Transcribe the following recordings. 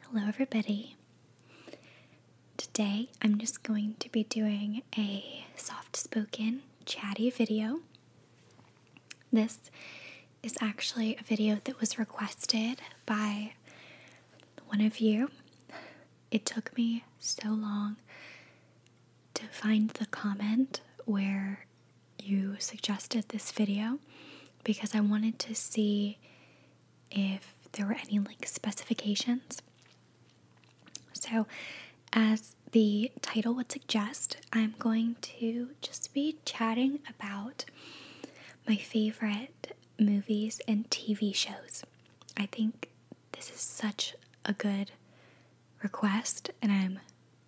Hello, everybody. Today I'm just going to be doing a soft spoken, chatty video. This is actually a video that was requested by one of you. It took me so long to find the comment where you suggested this video because I wanted to see if there were any like specifications. So, as the title would suggest, I'm going to just be chatting about my favorite movies and TV shows. I think this is such a good request, and I'm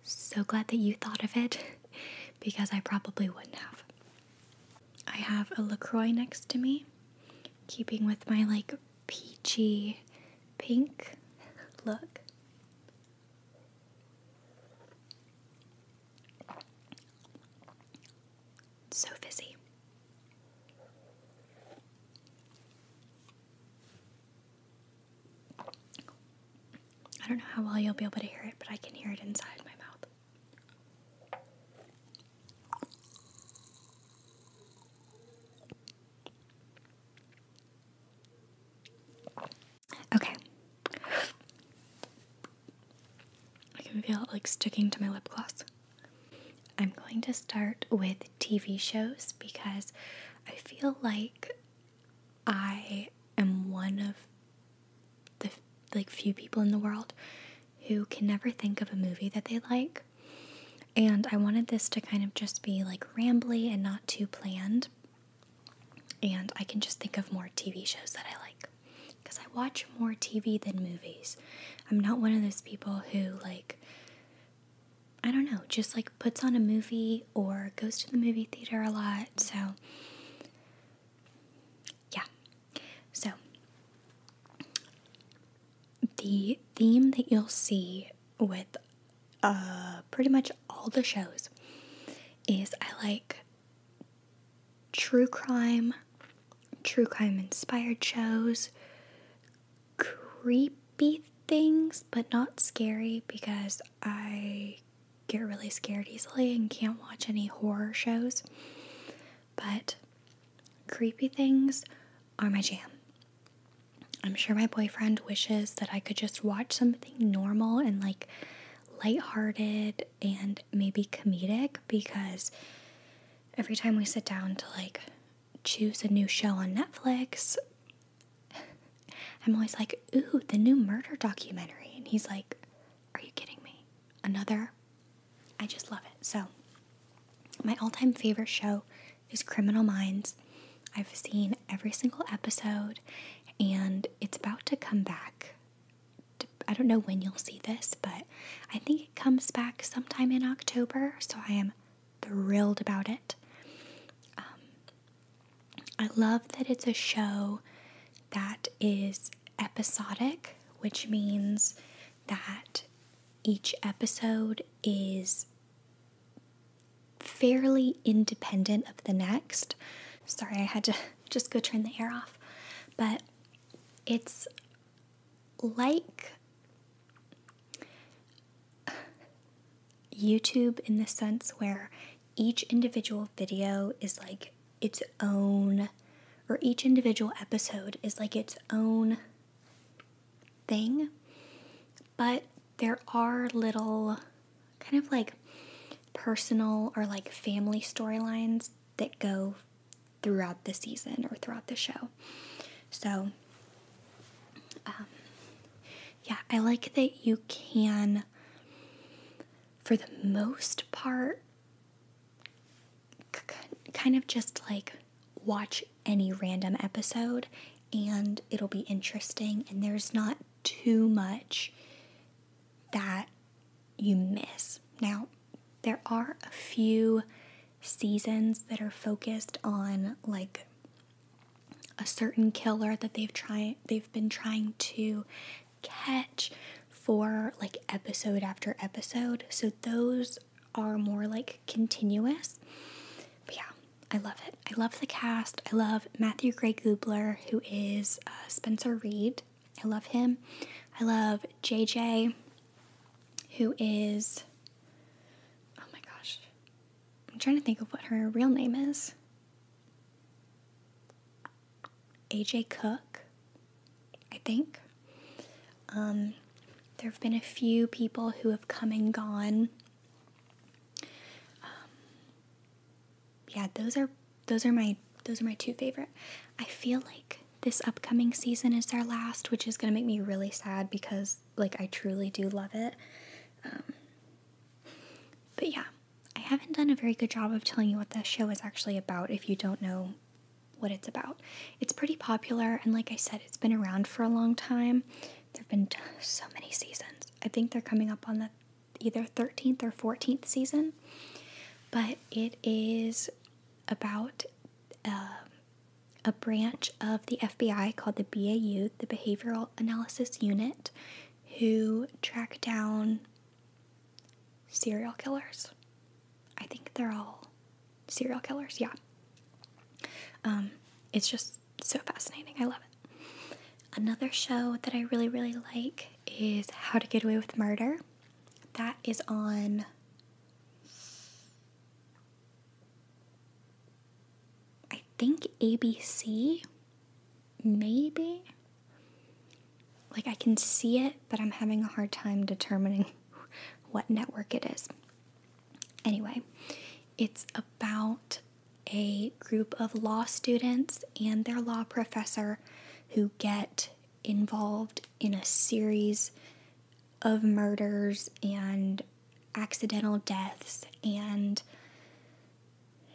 so glad that you thought of it because I probably wouldn't have. I have a LaCroix next to me, keeping with my like peachy pink look. So fizzy. I don't know how well you'll be able to hear it, but I can hear it inside my mouth. Okay. I can feel like sticking to my lip gloss. I'm going to start with TV shows because I feel like I am one of the like few people in the world who can never think of a movie that they like. And I wanted this to kind of just be like rambly and not too planned. And I can just think of more TV shows that I like because I watch more TV than movies. I'm not one of those people who like I don't know, just like puts on a movie or goes to the movie theater a lot. So yeah. So the theme that you'll see with uh, pretty much all the shows is I like true crime, true crime inspired shows, creepy things but not scary because I get really scared easily and can't watch any horror shows. But creepy things are my jam. I'm sure my boyfriend wishes that I could just watch something normal and like lighthearted and maybe comedic because every time we sit down to like choose a new show on Netflix, I'm always like, ooh, the new murder documentary. And he's like, are you kidding me? Another I just love it. So, my all time favorite show is Criminal Minds. I've seen every single episode, and it's about to come back. I don't know when you'll see this, but I think it comes back sometime in October, so I am thrilled about it. Um, I love that it's a show that is episodic, which means that each episode is fairly independent of the next. Sorry, I had to just go turn the air off. But it's like YouTube in the sense where each individual video is like its own, or each individual episode is like its own thing. But there are little kind of like personal or like family storylines that go throughout the season or throughout the show. So, um, yeah, I like that you can, for the most part, kind of just like watch any random episode and it'll be interesting and there's not too much that you miss. Now, there are a few seasons that are focused on like a certain killer that they've tried they've been trying to catch for like episode after episode. So those are more like continuous. But yeah, I love it. I love the cast. I love Matthew Gray Gubler, who is uh, Spencer Reed. I love him. I love JJ, who is. Oh my gosh. I'm trying to think of what her real name is. AJ Cook, I think. Um, there have been a few people who have come and gone. Um, yeah, those are those are my those are my two favorite. I feel like this upcoming season is their last, which is gonna make me really sad because like I truly do love it. Um, but yeah. I haven't done a very good job of telling you what this show is actually about if you don't know what it's about. It's pretty popular, and like I said, it's been around for a long time. There have been so many seasons. I think they're coming up on the either 13th or 14th season, but it is about um, a branch of the FBI called the BAU, the Behavioral Analysis Unit, who track down serial killers. I think they're all serial killers, yeah. Um, it's just so fascinating. I love it. Another show that I really, really like is How to Get Away with Murder. That is on. I think ABC, maybe. Like I can see it, but I'm having a hard time determining what network it is. Anyway, it's about a group of law students and their law professor who get involved in a series of murders and accidental deaths, and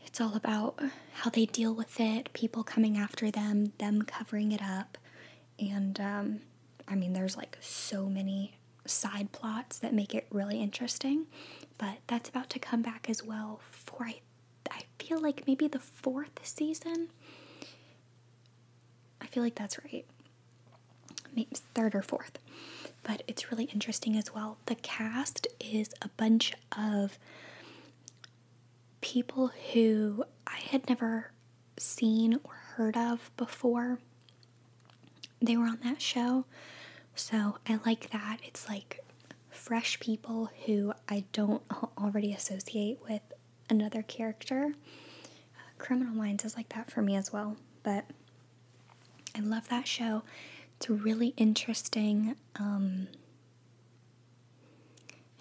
it's all about how they deal with it, people coming after them, them covering it up. And um, I mean, there's like so many side plots that make it really interesting. But that's about to come back as well for, I, I feel like maybe the fourth season. I feel like that's right. Maybe third or fourth. But it's really interesting as well. The cast is a bunch of people who I had never seen or heard of before. They were on that show. So I like that. It's like fresh people who I don't already associate with another character. Uh, Criminal Minds is like that for me as well. But I love that show. It's really interesting. Um,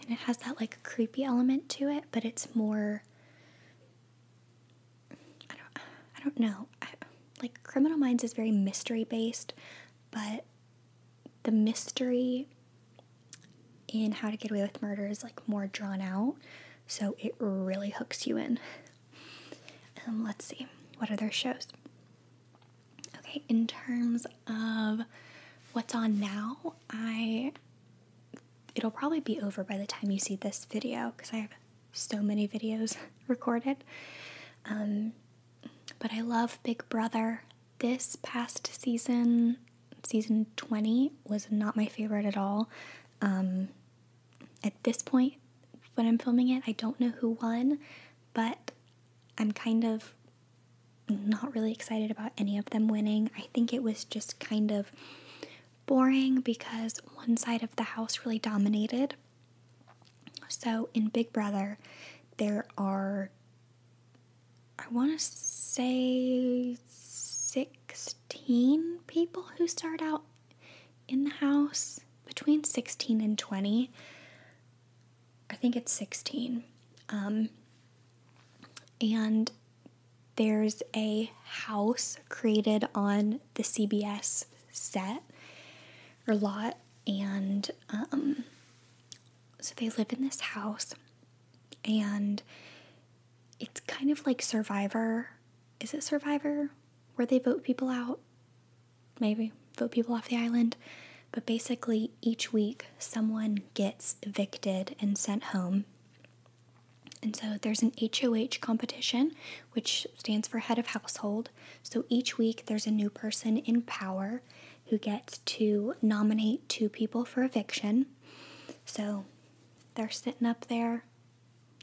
and it has that like creepy element to it, but it's more I don't I don't know. like Criminal Minds is very mystery based, but the mystery in How to Get Away with Murder is like more drawn out, so it really hooks you in. Um, let's see what other shows. Okay, in terms of what's on now, I it'll probably be over by the time you see this video because I have so many videos recorded. Um, but I love Big Brother. This past season, season 20, was not my favorite at all. Um, at this point, when I'm filming it, I don't know who won, but I'm kind of not really excited about any of them winning. I think it was just kind of boring because one side of the house really dominated. So in Big Brother, there are, I want to say, 16 people who start out in the house, between 16 and 20. I think it's 16. Um, and there's a house created on the CBS set or lot, and um, so they live in this house, and it's kind of like Survivor. Is it Survivor? Where they vote people out? Maybe vote people off the island. But basically, each week someone gets evicted and sent home. And so there's an HOH competition, which stands for head of household. So each week there's a new person in power who gets to nominate two people for eviction. So they're sitting up there.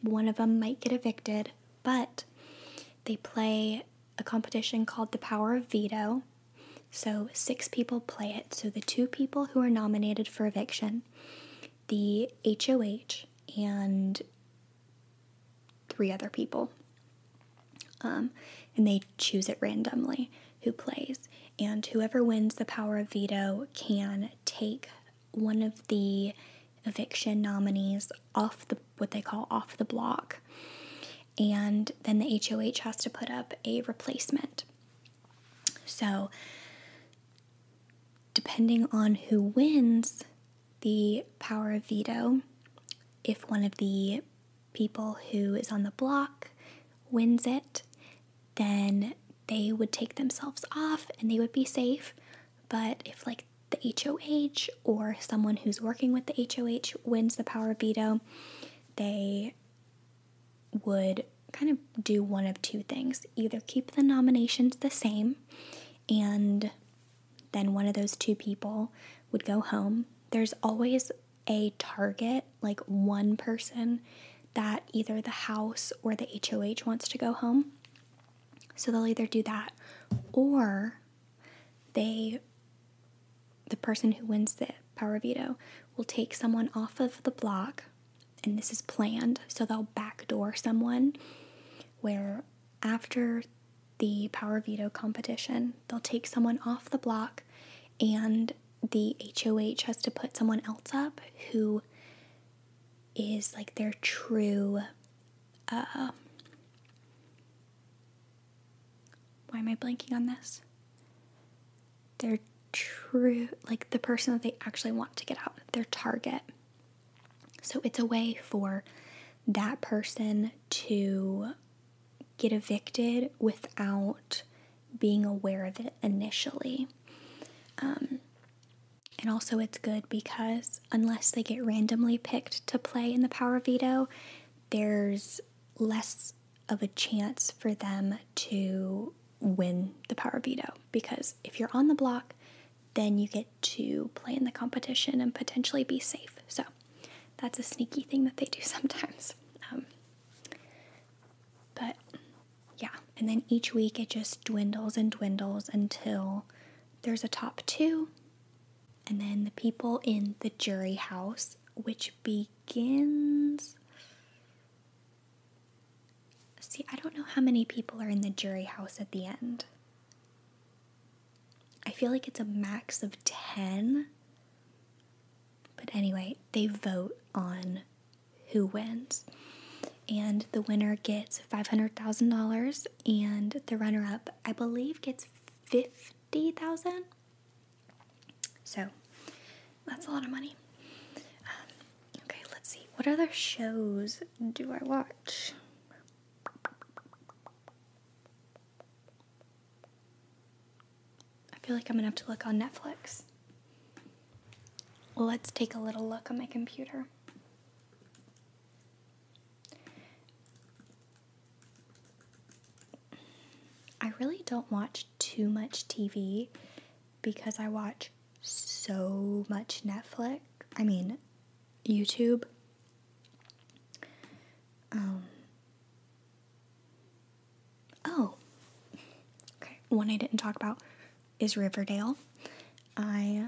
One of them might get evicted, but they play a competition called The Power of Veto. So, six people play it. So, the two people who are nominated for eviction, the HOH, and three other people. Um, and they choose it randomly who plays. And whoever wins the power of veto can take one of the eviction nominees off the what they call off the block and then the HOH has to put up a replacement. So, depending on who wins the power of veto, if one of the people who is on the block wins it, then they would take themselves off and they would be safe. But if, like, the HOH or someone who's working with the HOH wins the power of veto, they would kind of do one of two things either keep the nominations the same, and then one of those two people would go home. There's always a target, like one person that either the house or the HOH wants to go home. So they'll either do that or they the person who wins the power veto will take someone off of the block, and this is planned, so they'll backdoor someone where after the power veto competition, they'll take someone off the block and the HOH has to put someone else up who is like their true uh, why am I blanking on this? Their true, like the person that they actually want to get out, their target. So it's a way for that person to get evicted without being aware of it initially. Um, and also, it's good because unless they get randomly picked to play in the power veto, there's less of a chance for them to win the power veto because if you're on the block, then you get to play in the competition and potentially be safe. So that's a sneaky thing that they do sometimes. Um, but yeah, and then each week it just dwindles and dwindles until there's a top two, and then the people in the jury house, which be begins. See, I don't know how many people are in the jury house at the end. I feel like it's a max of 10. But anyway, they vote on who wins. And the winner gets $500,000 and the runner up, I believe, gets 50,000. So that's a lot of money. Um, okay, let's see. What other shows do I watch? I feel like I'm gonna have to look on Netflix. Let's take a little look on my computer. I really don't watch too much TV because I watch so much Netflix. I mean, YouTube. Um, oh, okay. One I didn't talk about is Riverdale. I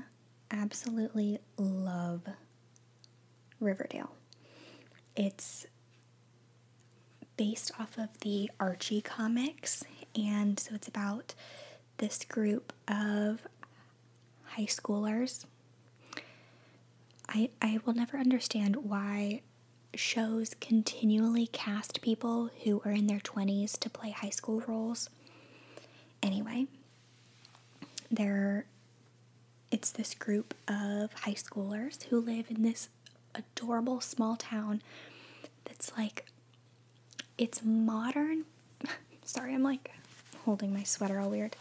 absolutely love Riverdale. It's based off of the Archie comics, and so it's about this group of high schoolers. I, I will never understand why shows continually cast people who are in their 20s to play high school roles. Anyway, they're it's this group of high schoolers who live in this adorable small town that's like it's modern sorry i'm like holding my sweater all weird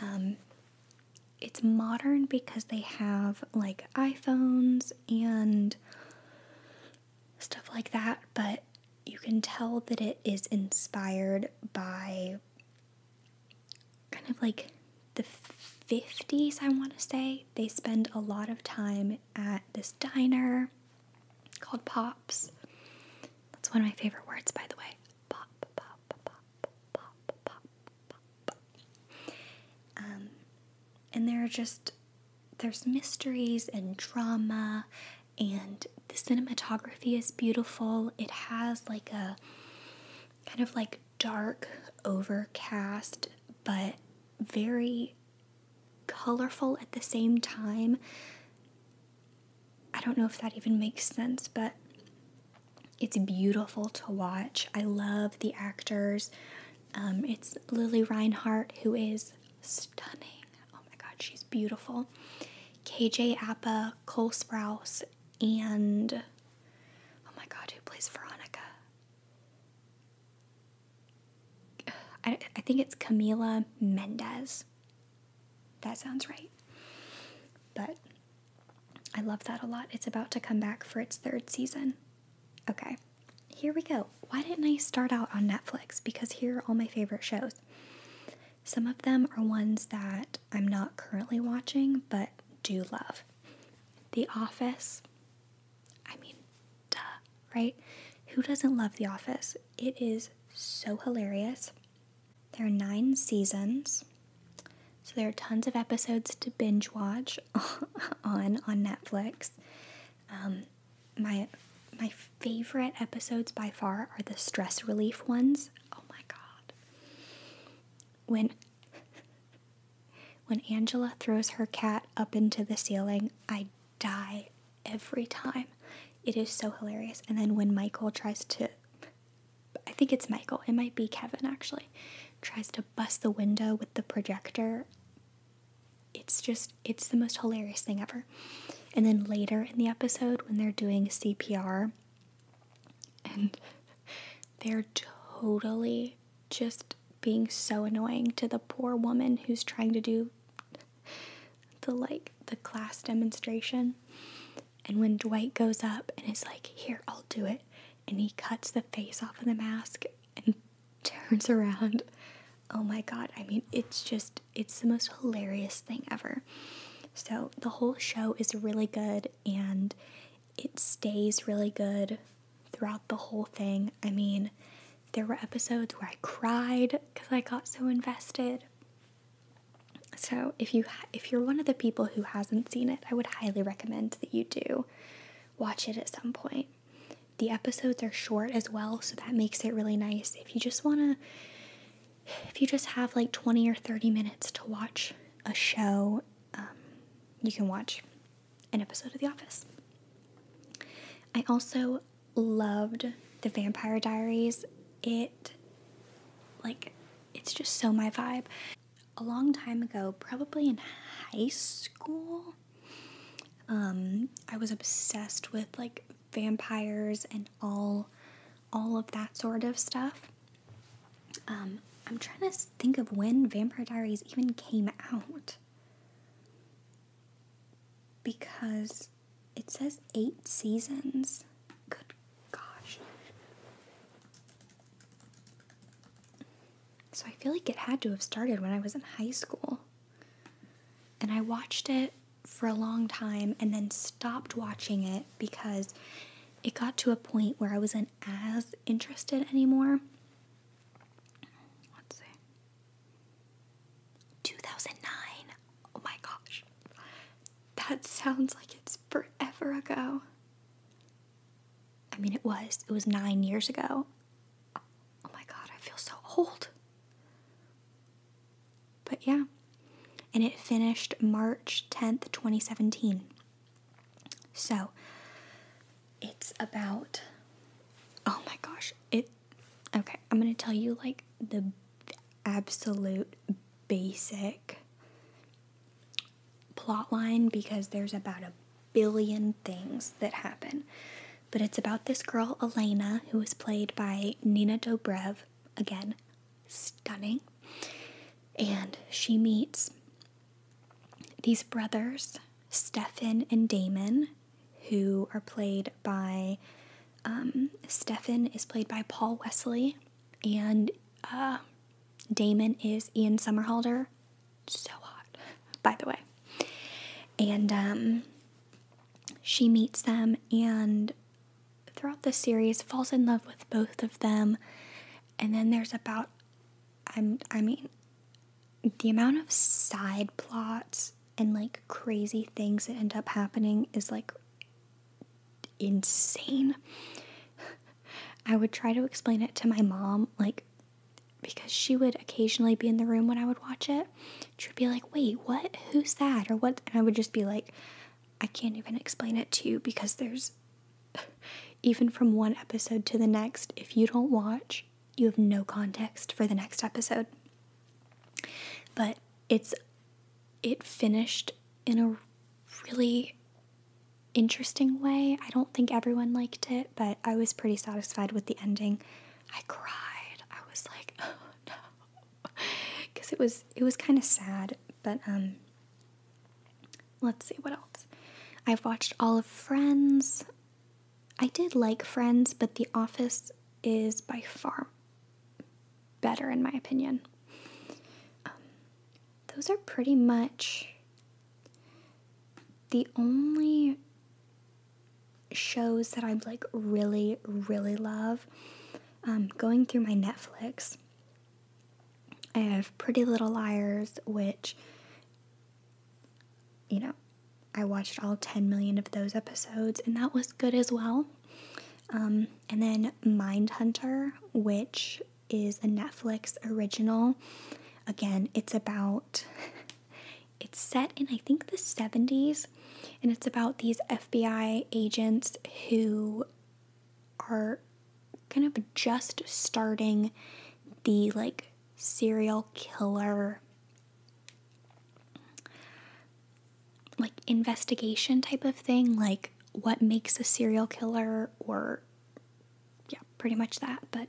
um, it's modern because they have like iphones and stuff like that but you can tell that it is inspired by kind of like the 50s, I want to say, they spend a lot of time at this diner called Pops. That's one of my favorite words, by the way. Pop, pop, pop, pop, pop, pop, pop. Um, and there are just, there's mysteries and drama, and the cinematography is beautiful. It has like a kind of like dark, overcast, but very colorful at the same time. I don't know if that even makes sense, but it's beautiful to watch. I love the actors. Um, it's Lily Reinhart, who is stunning. Oh my God, she's beautiful. KJ Appa, Cole Sprouse, and Oh my god, who plays Veronica? I, I think it's Camila Mendez. That sounds right. But I love that a lot. It's about to come back for its third season. Okay, here we go. Why didn't I start out on Netflix? Because here are all my favorite shows. Some of them are ones that I'm not currently watching but do love. The Office. I mean, duh, right? Who doesn't love The Office? It is so hilarious. There are nine seasons, so there are tons of episodes to binge watch on on Netflix. Um, my my favorite episodes by far are the stress relief ones. Oh my god! When when Angela throws her cat up into the ceiling, I die every time. It is so hilarious. And then when Michael tries to, I think it's Michael, it might be Kevin actually, tries to bust the window with the projector. It's just, it's the most hilarious thing ever. And then later in the episode, when they're doing CPR, and they're totally just being so annoying to the poor woman who's trying to do the like the class demonstration. And when Dwight goes up and is like, "Here, I'll do it." And he cuts the face off of the mask and turns around. Oh my god, I mean, it's just it's the most hilarious thing ever. So, the whole show is really good and it stays really good throughout the whole thing. I mean, there were episodes where I cried because I got so invested. So if you if you're one of the people who hasn't seen it, I would highly recommend that you do watch it at some point. The episodes are short as well, so that makes it really nice. If you just want to if you just have like 20 or 30 minutes to watch a show um, you can watch an episode of The Office. I also loved The Vampire Diaries. It, like, it's just so my vibe. A long time ago, probably in high school, um, I was obsessed with like vampires and all all of that sort of stuff. Um, I'm trying to think of when Vampire Diaries even came out. Because it says eight seasons. Good gosh. So I feel like it had to have started when I was in high school. And I watched it for a long time and then stopped watching it because it got to a point where I was as interested anymore. Let's see. 2009. Oh my gosh. That sounds like it's forever ago. I mean, it was. It was nine years ago. Oh my god, I feel so old. But yeah. And it finished March 10th, 2017. So it's about oh my gosh, it okay, I'm going to tell you like the absolute basic plot line because there's about a billion things that happen. But it's about this girl Elena who is played by Nina Dobrev again stunning. And she meets these brothers, Stefan and Damon, who are played by um, Stefan is played by Paul Wesley, and uh, Damon is Ian Somerhalder. So hot, by the way. And um, she meets them, and throughout the series, falls in love with both of them, and then there's about I'm I mean the amount of side plots and like crazy things that end up happening is like insane. I would try to explain it to my mom like because she would occasionally be in the room when I would watch it. She would be like, "Wait, what? Who's that?" or what? And I would just be like, I can't even explain it to you because there's even from one episode to the next, if you don't watch, you have no context for the next episode. But it's it finished in a really interesting way. I don't think everyone liked it, but I was pretty satisfied with the ending. I cried. I was like, "Oh no." Cuz it was it was kind of sad, but um, let's see what else. I've watched all of Friends. I did like Friends, but The Office is by far better, in my opinion. Um, those are pretty much the only shows that I'm like really, really love. Um, going through my Netflix, I have Pretty Little Liars, which, you know, I watched all 10 million of those episodes, and that was good as well. Um, and then Mindhunter, which is a Netflix original. Again, it's about, it's set in, I think, the 70s, and it's about these FBI agents who are kind of just starting the like serial killer like investigation type of thing, like what makes a serial killer or yeah, pretty much that, but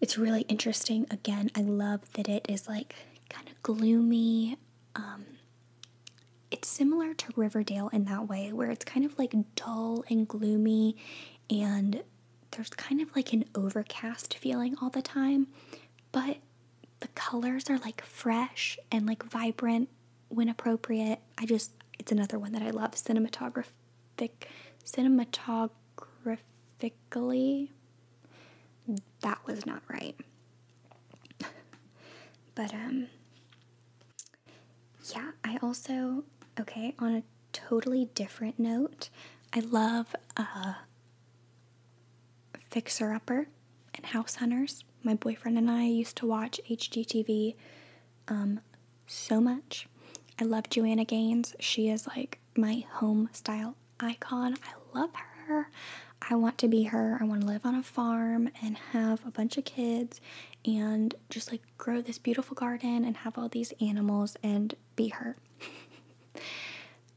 it's really interesting. Again, I love that it is like kind of gloomy um, it's similar to Riverdale in that way, where it's kind of like dull and gloomy, and there's kind of like an overcast feeling all the time, but the colors are like fresh and like vibrant when appropriate. I just, it's another one that I love cinematographic, cinematographically. That was not right. but, um, yeah, I also, okay, on a totally different note, I love uh, Fixer Upper and House Hunters. My boyfriend and I used to watch HGTV um, so much. I love Joanna Gaines. She is like my home style icon. I love her. I want to be her. I want to live on a farm and have a bunch of kids and just like grow this beautiful garden and have all these animals and be her.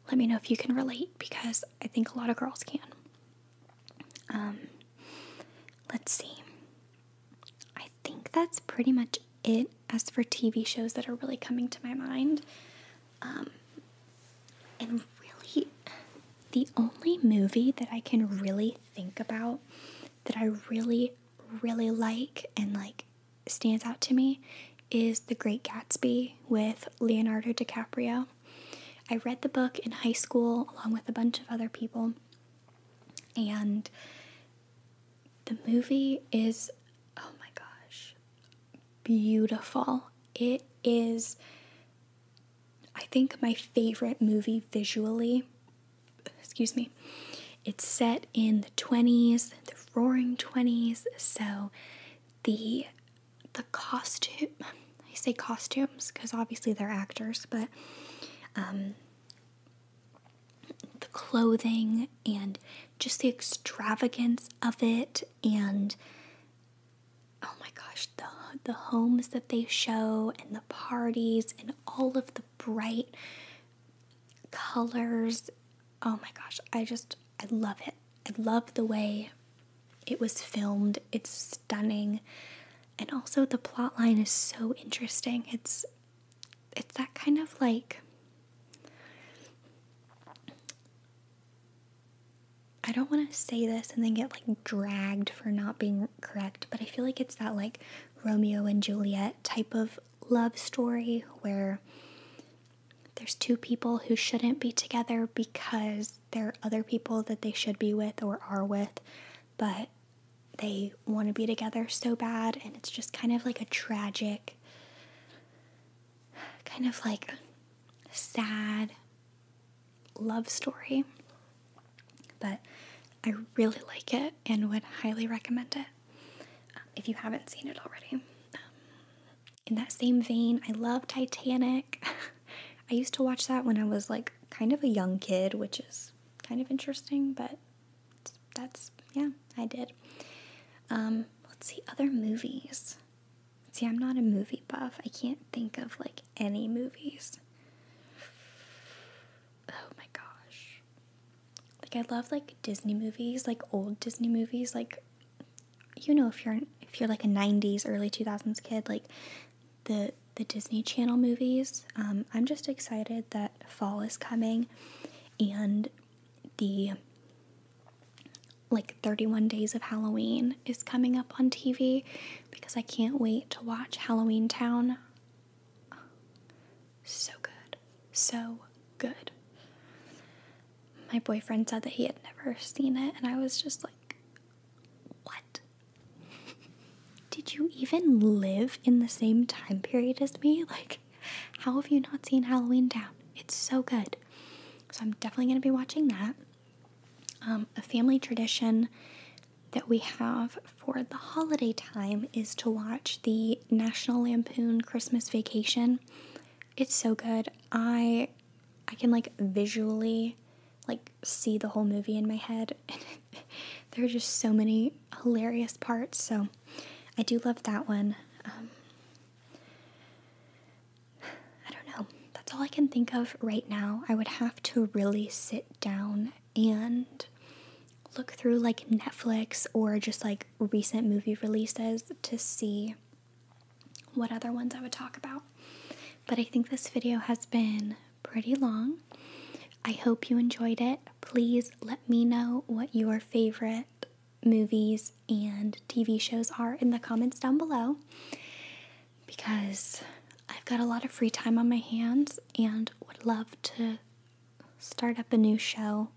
Let me know if you can relate because I think a lot of girls can. Um, let's see. I think that's pretty much it as for TV shows that are really coming to my mind. Um, and really, the only movie that I can really think about that I really, really like and like stands out to me is The Great Gatsby with Leonardo DiCaprio. I read the book in high school along with a bunch of other people, and the movie is oh my gosh, beautiful. It is I think my favorite movie visually, excuse me, it's set in the 20s, the roaring 20s, so the the costume I say costumes because obviously they're actors, but um, the clothing and just the extravagance of it and oh my gosh the, the homes that they show and the parties and all of the bright colors. Oh my gosh, I just, I love it. I love the way it was filmed. It's stunning. And also the plot line is so interesting. It's it's that kind of like I don't want to say this and then get like dragged for not being correct, but I feel like it's that like Romeo and Juliet type of love story where there's two people who shouldn't be together because there are other people that they should be with or are with, but they want to be together so bad, and it's just kind of like a tragic, kind of like sad love story, but I really like it and would highly recommend it um, if you haven't seen it already. Um, in that same vein, I love Titanic. I used to watch that when I was like kind of a young kid, which is kind of interesting, but that's, yeah, I did. Um, let's see, other movies. See, I'm not a movie buff. I can't think of like any movies. Oh my gosh. Like I love like Disney movies, like old Disney movies, like you know if you're if you're like a 90s early 2000s kid, like the the Disney Channel movies. Um, I'm just excited that fall is coming and the like 31 days of Halloween is coming up on TV because I can't wait to watch Halloween Town so good. So good. My boyfriend said that he had never seen it, and I was just like, what? Did you even live in the same time period as me? Like, how have you not seen Halloween Town? It's so good. So I'm definitely going to be watching that. Um, a family tradition that we have for the holiday time is to watch the National Lampoon Christmas Vacation. It's so good. I I can like visually like see the whole movie in my head. there are just so many hilarious parts. So I do love that one. Um, I don't know. That's all I can think of right now. I would have to really sit down and look through like Netflix or just like recent movie releases to see what other ones I would talk about. But I think this video has been pretty long. I hope you enjoyed it. Please let me know what your favorite movies and TV shows are in the comments down below because I've got a lot of free time on my hands and would love to start up a new show.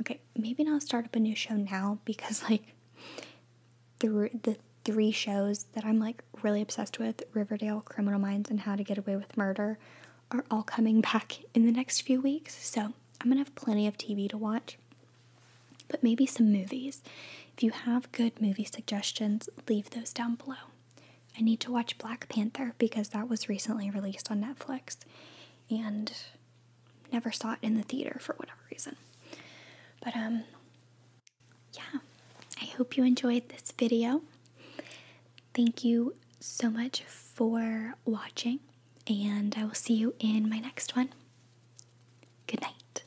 Okay, maybe not start up a new show now because like through the three shows that I'm like really obsessed with, Riverdale, Criminal Minds, and How to Get Away with Murder, are all coming back in the next few weeks. So I'm gonna have plenty of TV to watch, but maybe some movies. If you have good movie suggestions, leave those down below. I need to watch Black Panther because that was recently released on Netflix and never saw it in the theater for whatever reason. But, um, yeah, I hope you enjoyed this video. Thank you so much for watching, and I will see you in my next one. Good night.